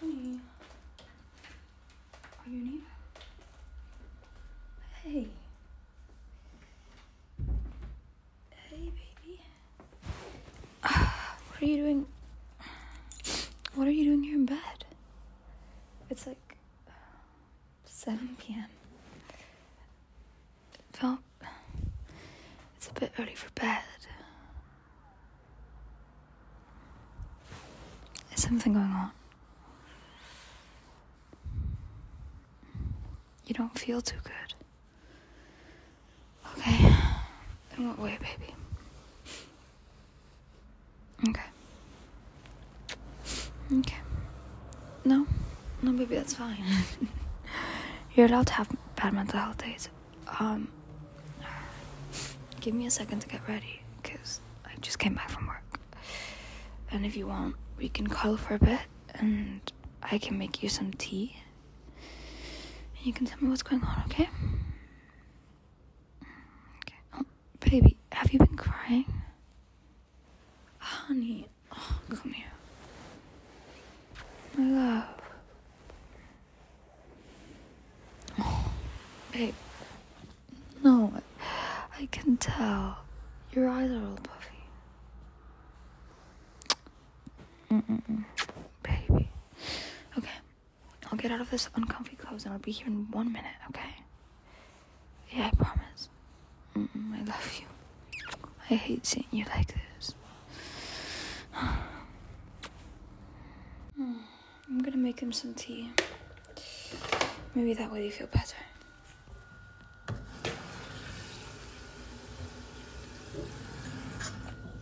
Baby? Honey. Are you new? Hey. Hey, baby. what are you doing? What are you doing here in bed? It's like 7 p.m. It felt it's a bit early for bed. There's something going on? You don't feel too good. Okay. In what way, baby? Okay. Okay. No, no, baby, that's fine. You're allowed to have bad mental health days. Um, give me a second to get ready, cause I just came back from work. And if you want, we can cuddle for a bit, and I can make you some tea. And you can tell me what's going on, okay? Okay. Oh, baby, have you been crying? Honey, oh, come here. My love. Oh, baby, No, I, can tell. Your eyes are all puffy. Mm -mm -mm. Baby. Okay. I'll get out of this uncomfy clothes and I'll be here in one minute, okay? Yeah, I promise. I love you. I hate seeing you like this. Hmm, I'm gonna make him some tea. Maybe that way you feel better.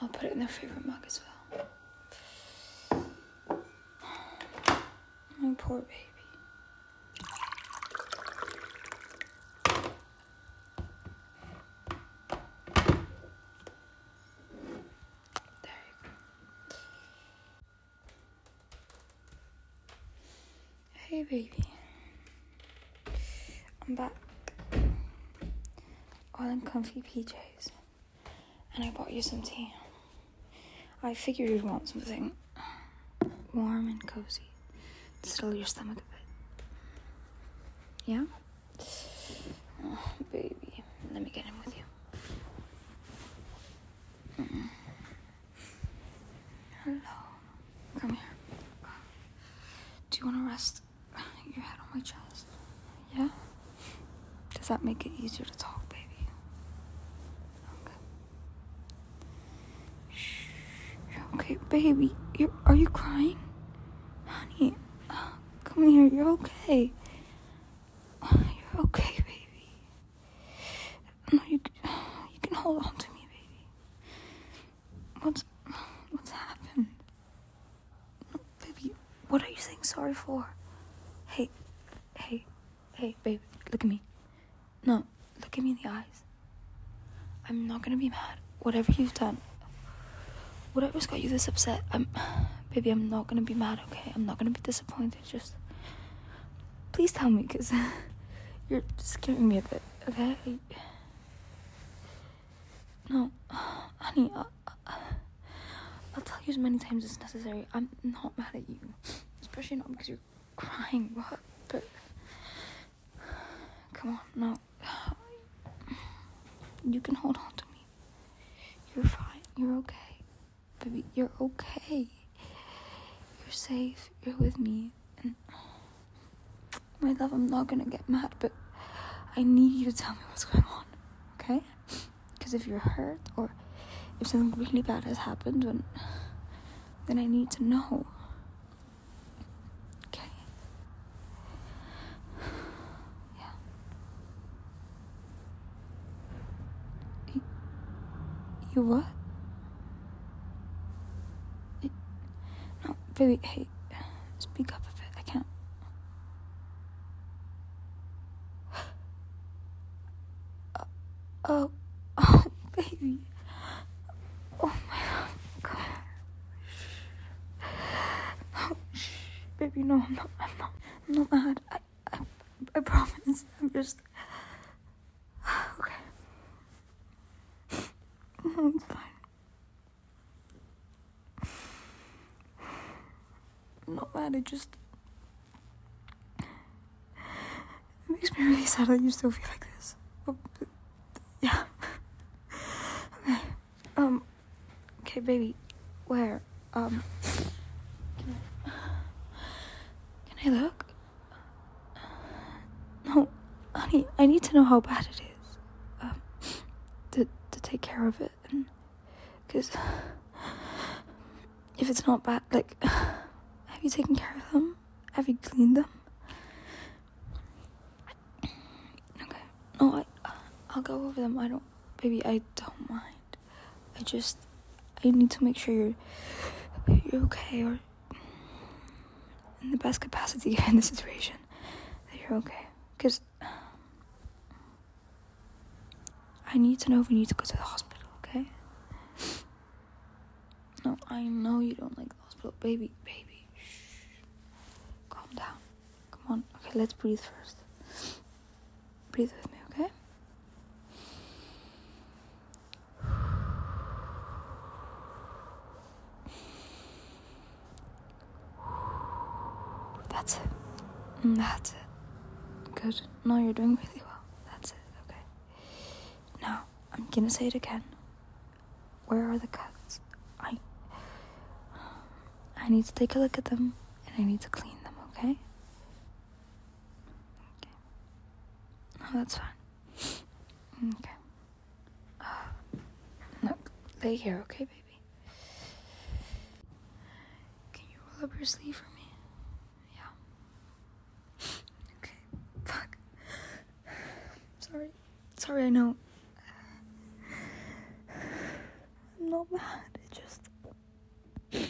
I'll put it in their favorite mug as well. My poor baby. Hey, baby. I'm back. All in comfy PJs. And I bought you some tea. I figured you'd want something warm and cozy to settle your stomach a bit. Yeah? Oh, baby. Let me get in with you. Mm-hmm. Hello. Come here. Do you want to rest? your head on my chest. Yeah? Does that make it easier to talk, baby? Okay. Shh. Okay, baby. You're, you crying? Honey, uh, come here. You're okay. You're okay, baby. No, you, you can hold on to me, baby. What's what's happened? baby, what are you saying sorry for? Hey, hey, hey, baby, look at me. No, look at me in the eyes. I'm not gonna be mad. Whatever you've done, whatever's got you this upset, I'm, baby, I'm not gonna be mad. Okay, I'm not gonna be disappointed. Just please tell me, cause you're scaring me a bit. Okay. No, honey, I, will tell you as many times as necessary. I'm not mad at you, especially not because you're crying. But come on, no. You can hold on to me. You're fine. You're okay, baby. You're okay. You're safe. You're with me my love, I'm not gonna get mad, but I need you to tell me what's going on, okay? Because if you're hurt or if something really bad has happened, then, then I need to know. Okay? Yeah. you what? It, no, baby, hey, speak up a bit. I can't. Uh, oh, oh, baby. Oh my god. No, shh, baby, no, I'm not. I'm not. I'm not mad. I, I, I promise. I'm just. Okay it's fine. I'm not bad. it just. It makes me really sad that you still feel like this. But, oh, yeah. okay. Um. Okay, baby. Where? Um. can I look? No, honey, I need to know how bad it is. Um, to, to take care of it. And, Cause if it's not bad, like, have you taken care of them? Have you cleaned them? Okay. No, I, I'll go over them. I don't, baby, I don't mind. I just, I need to make sure you're, you're okay or in the best capacity in the situation that you're okay. Because I need to know if we need to go to the hospital, okay? No, I know you don't like the hospital. Baby, baby, shh. Calm down. Come on. Okay, let's breathe first. Breathe with me, okay? That's it. Mm, that's it. Good. No, you're doing really well. That's it. Okay. Now, I'm gonna say it again. Where are the cuts? I. I need to take a look at them and I need to clean them, okay? Okay. No, that's fine. okay. Uh, look, lay here, okay, baby? Can you roll up your sleeve for me? Yeah. Okay, fuck. Sorry. Sorry, I know. I'm not mad, it just.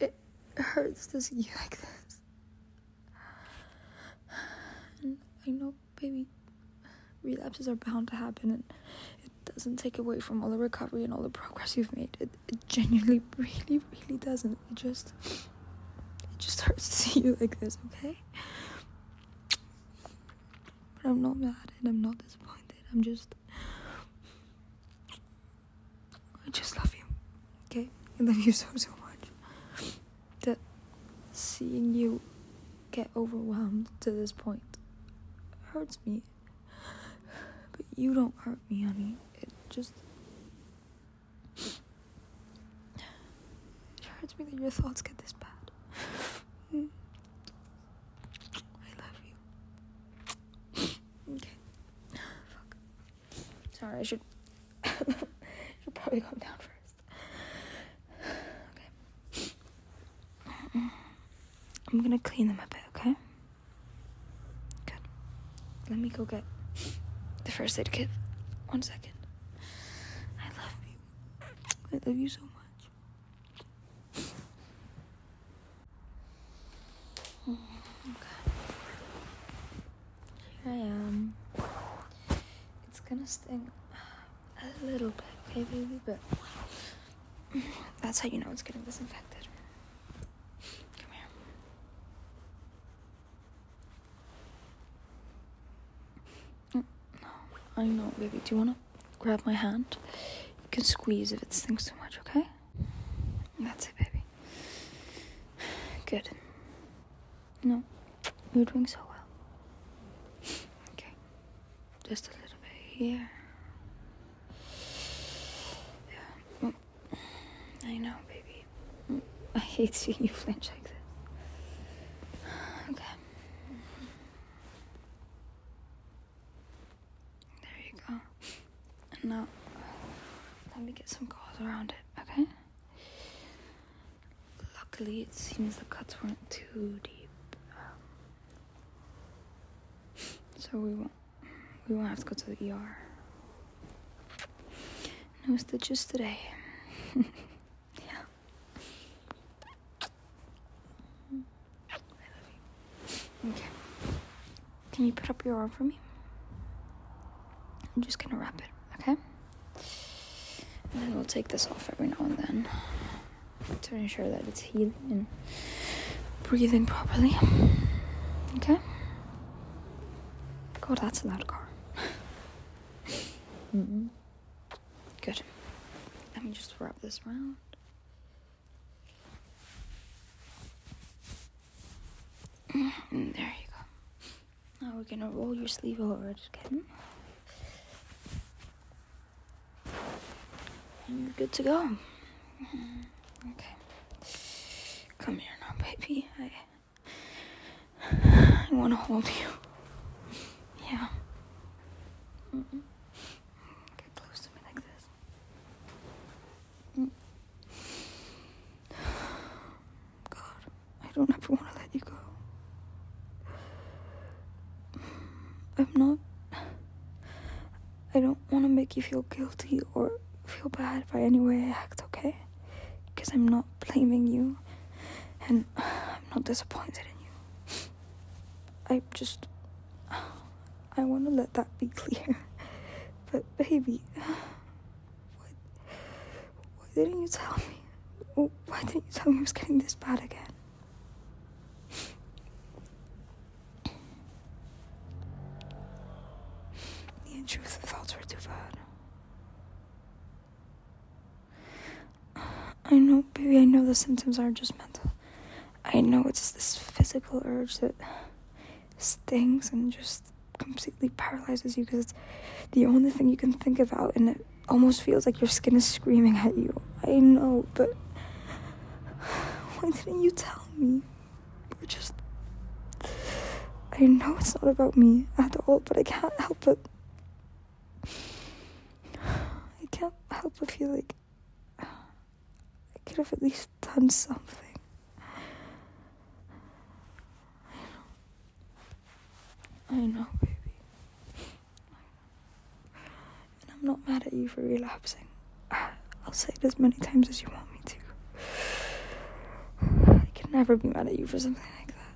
It hurts to see you like this. I know baby relapses are bound to happen and it doesn't take away from all the recovery and all the progress you've made. It, it genuinely really really doesn't. It just it just hurts to see you like this, okay? But I'm not mad and I'm not disappointed. I'm just I just love you. Okay? I love you so, so much. That seeing you get overwhelmed to this point hurts me. But you don't hurt me, honey. It just. hurts me that your thoughts get this bad. Mm. I love you. Okay. Sorry, I should should probably calm down first. Okay. I'm gonna clean them up. okay? Good. Let me go get the first aid kit. One second. I love you. I love you so much. Mm, okay. Here I am. It's gonna sting a little bit, okay, baby, but that's how you know it's getting disinfected. Come here. Mm, no, I know, baby. Do you wanna grab my hand? You can squeeze if it stings too much, okay? That's it, baby. Good. No, you're doing so well. Okay. Just a little bit here. Yeah. Mm. I know, baby. Mm. I hate seeing you flinch like this. Okay. There you go. And now, let me get some cars around it, okay? Luckily, it seems the cuts weren't too deep. Um, so we won't, we won't have to go to the ER. No stitches today. yeah. Okay. Can you put up your arm for me? I'm just gonna wrap it, okay? And then we'll take this off every now and then to ensure that it's healing and breathing properly. Okay? God, that's a loud car. mm -hmm. Good. Let me just wrap this around. Mm, there you go. Now we're gonna roll your sleeve over again. And you're good to go. Mm-hmm. Okay. Come here now, baby. I, I wanna hold you. Yeah. Get close to me like this. God, I don't ever want to let you go. I'm not. I don't want to make you feel guilty or feel bad by any way I act, okay? Because I'm not blaming you and I'm not disappointed in you. I just. I want to let that be clear but baby, what, why didn't you tell me? Why didn't you tell me it was getting this bad again? The intrusive thoughts were too bad. I know, baby, I know the symptoms aren't just mental. I know it's this physical urge that stings and just completely paralyzes you because it's the only thing you can think about and it almost feels like your skin is screaming at you. I know, but why didn't you tell me? We're just I know it's not about me at all, but I can't help it. I can't help but feel like I could have at least done something. I know. baby. And I'm not mad at you for relapsing. I'll say it as many times as you want me to. I can never be mad at you for something like that.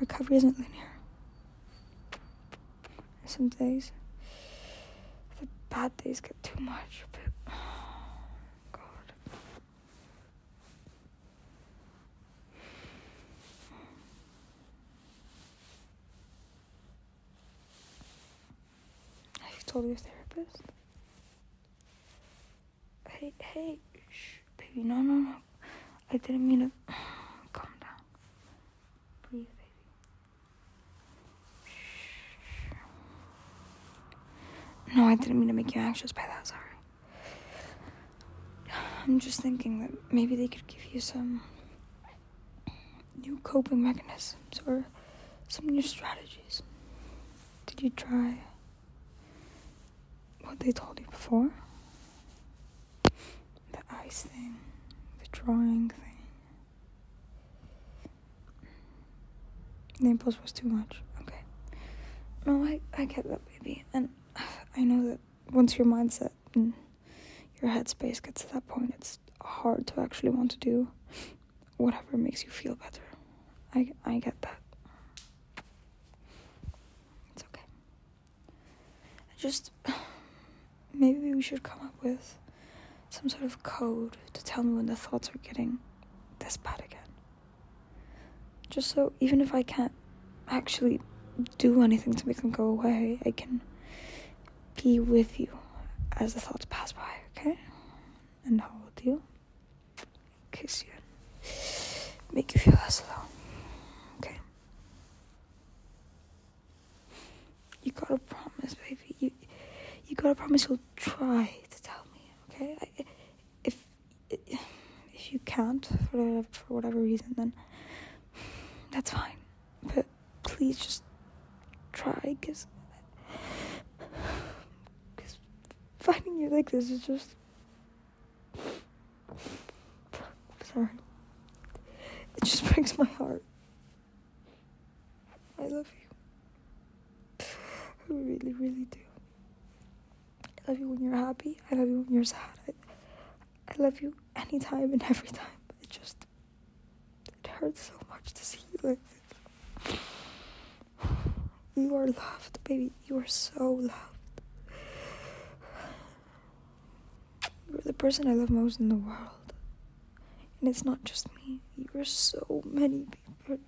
Recovery isn't linear some days. The bad days get too much, but oh, God. Have told your therapist? Hey, hey, shh, baby, no, no, no. I didn't mean it. Calm down. Please, baby. No, I didn't mean to make you anxious by that, sorry. I'm just thinking that maybe they could give you some new coping mechanisms or some new strategies. Did you try what they told you before? The ice thing, the drawing thing, Naples was too much. Okay. No, I, I get that, baby. And I know that once your mindset and your headspace gets to that point, it's hard to actually want to do whatever makes you feel better. I, I get that. It's okay. just maybe we should come up with some sort of code to tell me when the thoughts are getting this bad again. Just so even if I can't actually do anything to make them go away, I can be with you as the thoughts pass by, okay? And hold you, kiss you, make you feel less alone, okay? You gotta promise, baby. You, you gotta promise you'll try to tell me, okay? if if you can't for whatever, for whatever reason, then that's fine. But please just try, cause cause finding you like this is just sorry. It just breaks my heart. I love you. I really, really do. I love you when you're happy. I love you when you're sad. I, I love you anytime and every time. It just it hurts so much to see you like this. You are loved, baby. You are so loved. You're the person I love most in the world. And it's not just me. You are so many people.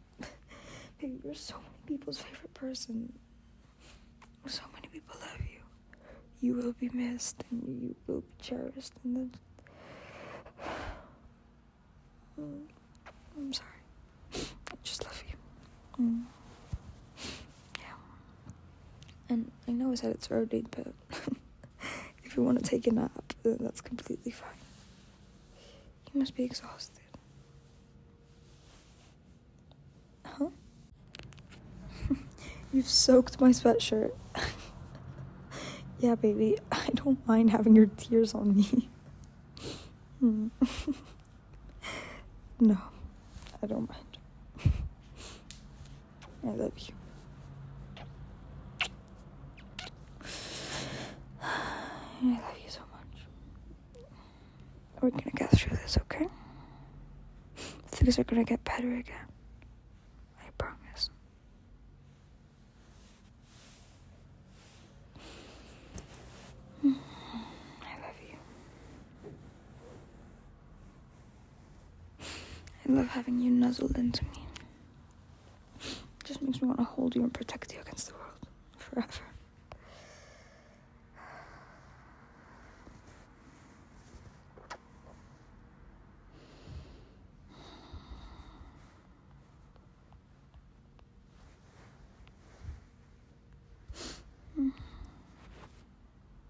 you're so many people's favorite person. So many people love you. You will be missed and you will be cherished. And then. Mm, I'm sorry. I just love you. Mm. Yeah. And I know it's said it's early, but if you want to take a nap, that's completely fine. You must be exhausted. Huh? You've soaked my sweatshirt. yeah, baby, I don't mind having your tears on me. Hmm. no, I don't mind. I love you. I love you so much. We're gonna get through this, okay? Things are gonna get better again. I promise. I love you. I love having you nuzzled into me. It just makes me want to hold you and protect you against the world forever.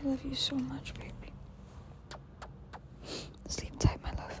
I love you so much, baby. Sleep tight, my love.